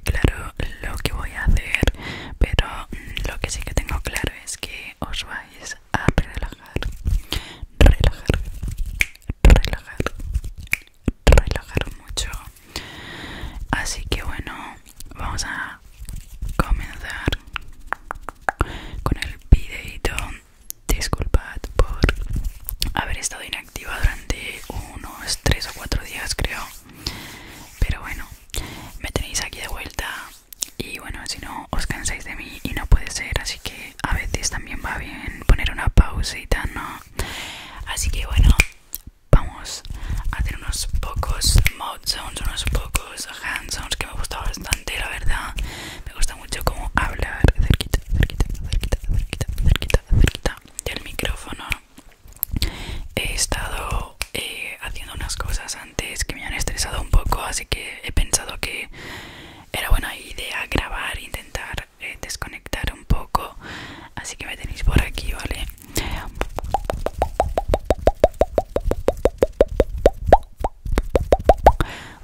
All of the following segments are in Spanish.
claro lo que voy a hacer, pero mm, lo que sí que tengo claro es que os vais a relajar, relajar, relajar, relajar mucho. Así que bueno, vamos a comenzar con el videito. Disculpad por haber estado inactivo activa durante unos 3 o 4 días creo pero bueno me tenéis aquí de vuelta y bueno si no os cansáis de mí y no puede ser así que a veces también va bien poner una pausa no así que bueno vamos a hacer unos pocos mod sounds unos pocos hand sounds que me gusta bastante la verdad me gusta mucho como hablar cerquita cerquita cerquita cerquita cerquita del micrófono he estado eh, haciendo unas cosas antes que me han estresado un poco así que he pensado que era buena idea grabar intentar eh, desconectar un poco así que me tenéis por aquí vale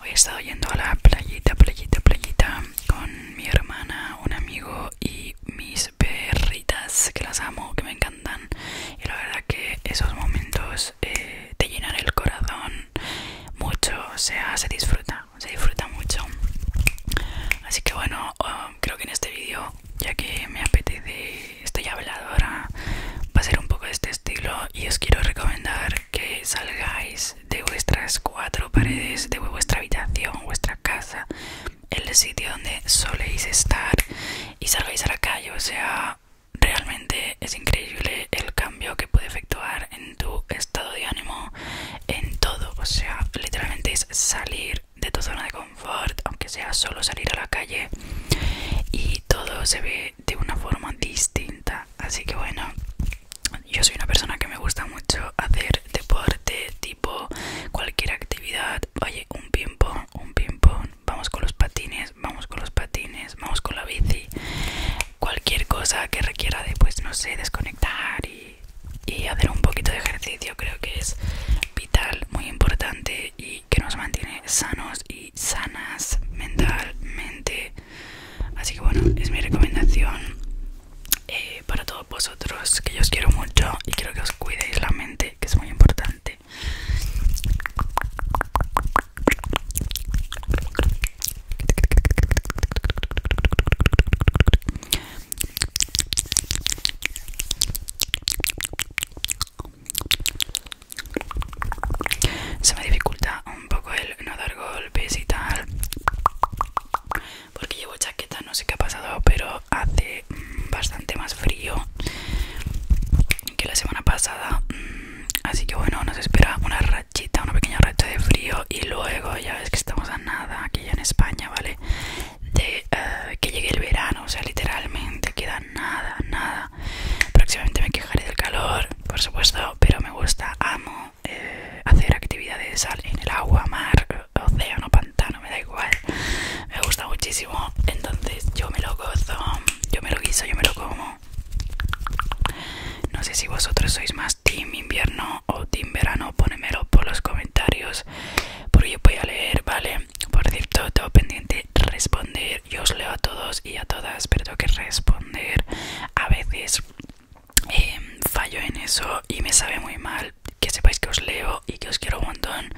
Hoy he estado yendo a la playita, playita, playita con mi hermana, un amigo y mis perritas que las amo, que me encantan. Y la verdad que esos momentos eh, te llenan el corazón mucho, o sea, se disfruta, se disfruta mucho. Así que bueno, ah, creo que en este vídeo, ya que me apetece, estoy habladora, ah, va a ser un poco de este estilo y os quiero recomendar que salgáis de vuestras cuatro paredes, de vuestra habitación, vuestra casa, el sitio donde soléis estar y salgáis a la calle. O sea, realmente es increíble el cambio que puede efectuar en tu estado de ánimo, en todo. O sea, literalmente es salir de tu zona de confort, aunque sea solo salir a la calle y todo se ve de una forma distinta así que bueno yo soy una persona que me gusta mucho hacer deporte tipo cualquier actividad oye un ping pong un ping pong vamos con los patines vamos con los patines vamos con la bici cualquier cosa que requiera de pues no sé desconectar y hacer un poquito de ejercicio creo que es vital muy importante y que nos mantiene sanos y sanas mentalmente Así que bueno, es mi recomendación eh, para todos vosotros, que yo os quiero mucho y quiero que os cuidéis la mente, que es muy importante. Se me dificulta un poco el no dar gol y tal porque llevo chaqueta no sé qué ha pasado pero hace mm, bastante más frío que la semana pasada mm, así que bueno nos espera una rachita una pequeña racha de frío y luego ya ves que estamos a nada aquí ya en España vale de eh, que llegue el verano o sea literalmente queda nada nada Próximamente me quejaré del calor, por supuesto, pero me gusta, amo eh, hacer actividades en el agua, mar, océano, pantano, me da igual. Me gusta muchísimo, entonces yo me lo gozo, yo me lo guiso, yo me lo como. No sé si vosotros sois más team invierno o team verano, ponémelo por los comentarios, porque yo voy a leer, ¿vale? Por cierto, tengo pendiente responder yo os leo a todos y a todas, pero tengo que responder. A veces em, fallo en eso y me sabe muy mal que sepáis que os leo y que os quiero un montón,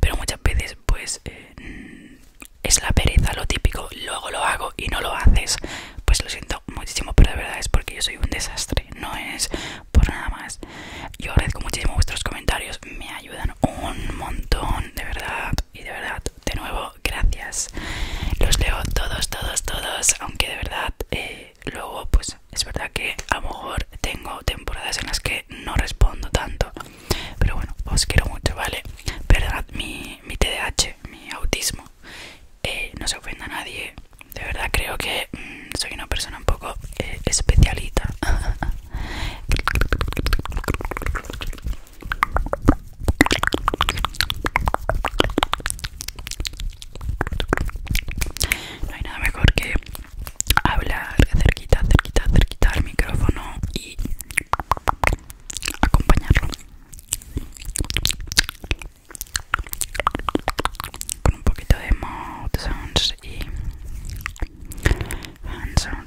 pero muchas veces pues eh, mm, es la pereza, lo típico, luego lo hago y no lo haces. Pues lo siento muchísimo, pero de verdad es porque yo soy un desastre, no es por nada más. Yo agradezco muchísimo vuestros comentarios, me ayudan un montón, de verdad, y de verdad de nuevo, gracias. Los leo todos, todos, todos, aunque de verdad eh, luego pues es verdad que a lo mejor tengo temporadas en las que no respondo tanto. Pero bueno, os quiero mucho, ¿vale? verdad mi, mi TDAH, mi autismo. Eh, no se ofenda a nadie. De verdad creo que mm, soy una persona un poco eh, especialita. No hay nada mejor que hablar cerquita, cerquita, cerquita al micrófono y acompañarlo con un poquito de mouth sounds y hand sounds.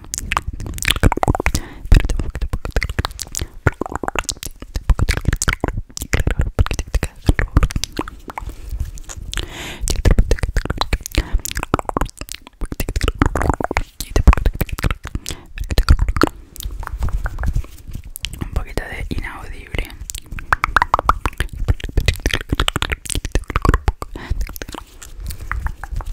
un poquito de inaudible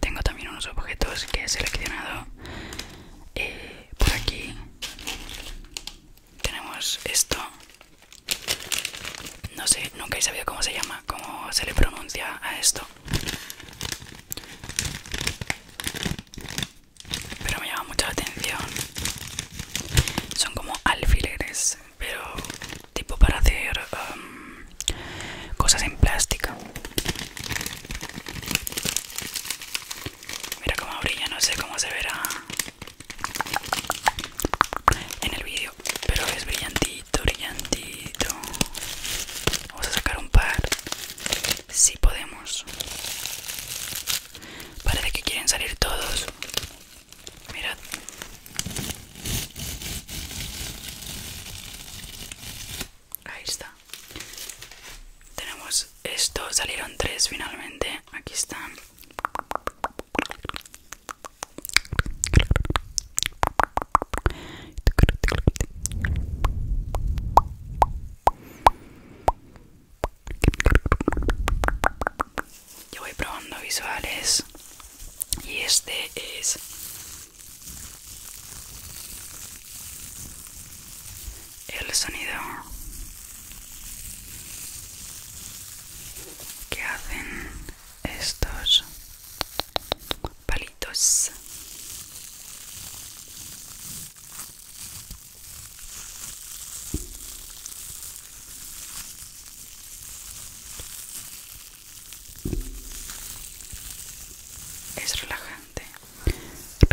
Tengo también unos objetos que he seleccionado eh, por aquí. Tenemos esto. No sé, nunca he sabido cómo se llama, cómo se le pronuncia a esto pero me llama mucho la atención son como alfileres pero tipo para hacer um, cosas en plástica mira cómo brilla no sé cómo se verá en el vídeo pero es brillantito brillantito vamos a sacar un par si podemos Parece que quieren salir todos. Mirad. Ahí está. Tenemos esto. Salieron tres finalmente. Aquí están. Yo voy probando visuales y este es el sonido que hacen estos palitos es relajante. relajante.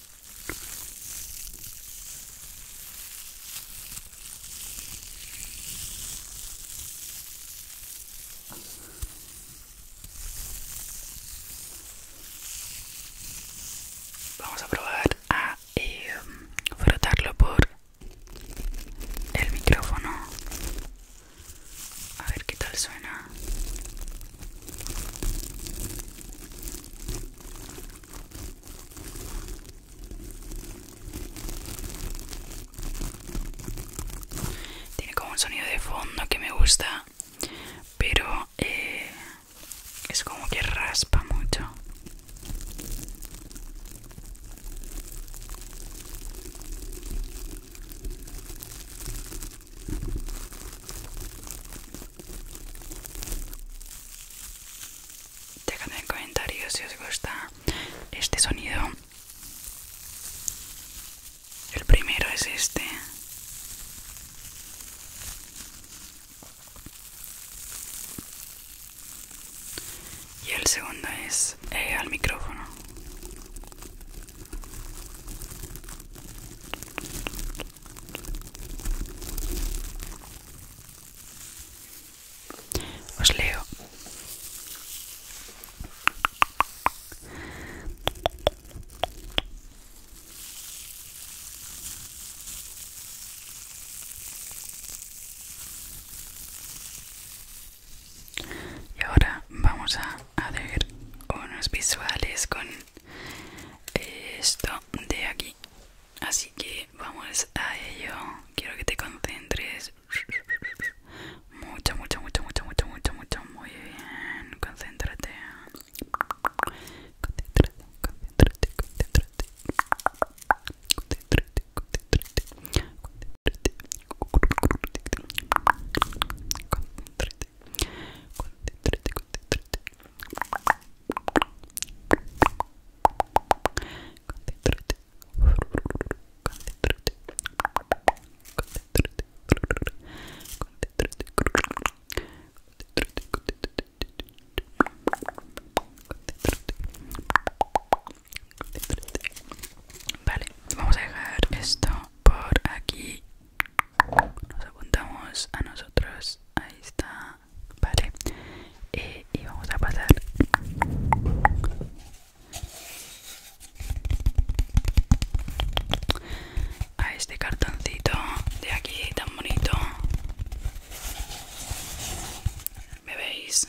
Vamos a probar a eh, frotarlo por el micrófono. A ver qué tal suena. Tiene como un sonido de fondo que me gusta, pero eh, es como que raspa mucho. Dejadme en comentarios si os gusta este sonido. El primero es este. Y el segundo es eh, al micrófono. Os leo. Y ahora vamos a, hacer unos visuales con esto de aquí así que vamos a ello quiero que te concentres mucho mucho mucho mucho mucho mucho mucho muy bien concéntrate concéntrate concéntrate concéntrate concéntrate concéntrate concéntrate concéntrate concéntrate, concéntrate, Vale, vamos a dejar esto por aquí nos apuntamos a nosotros ahí está vale y vamos a pasar a este cartoncito de aquí tan bonito me veis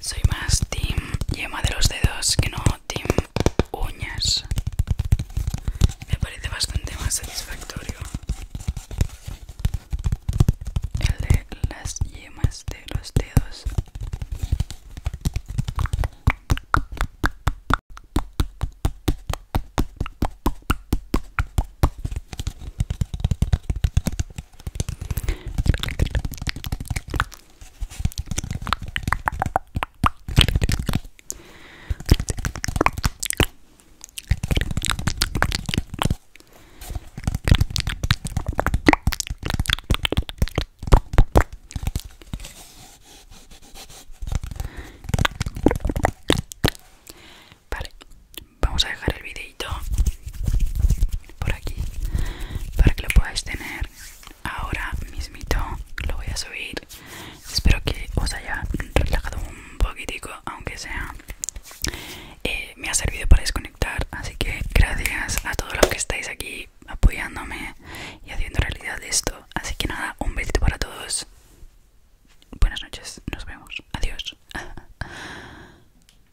Soy más team yema de los dedos que no team uñas. Me parece bastante más satisfactorio el de las yemas de los dedos. Vale, vamos a dejar el videito por aquí para que lo podáis tener ahora mismito lo voy a subir espero que os haya relajado un poquitico aunque sea eh, me ha servido para desconectar así que gracias a todos los que estáis aquí apoyándome y haciendo realidad esto así que nada un besito para todos buenas noches nos vemos adiós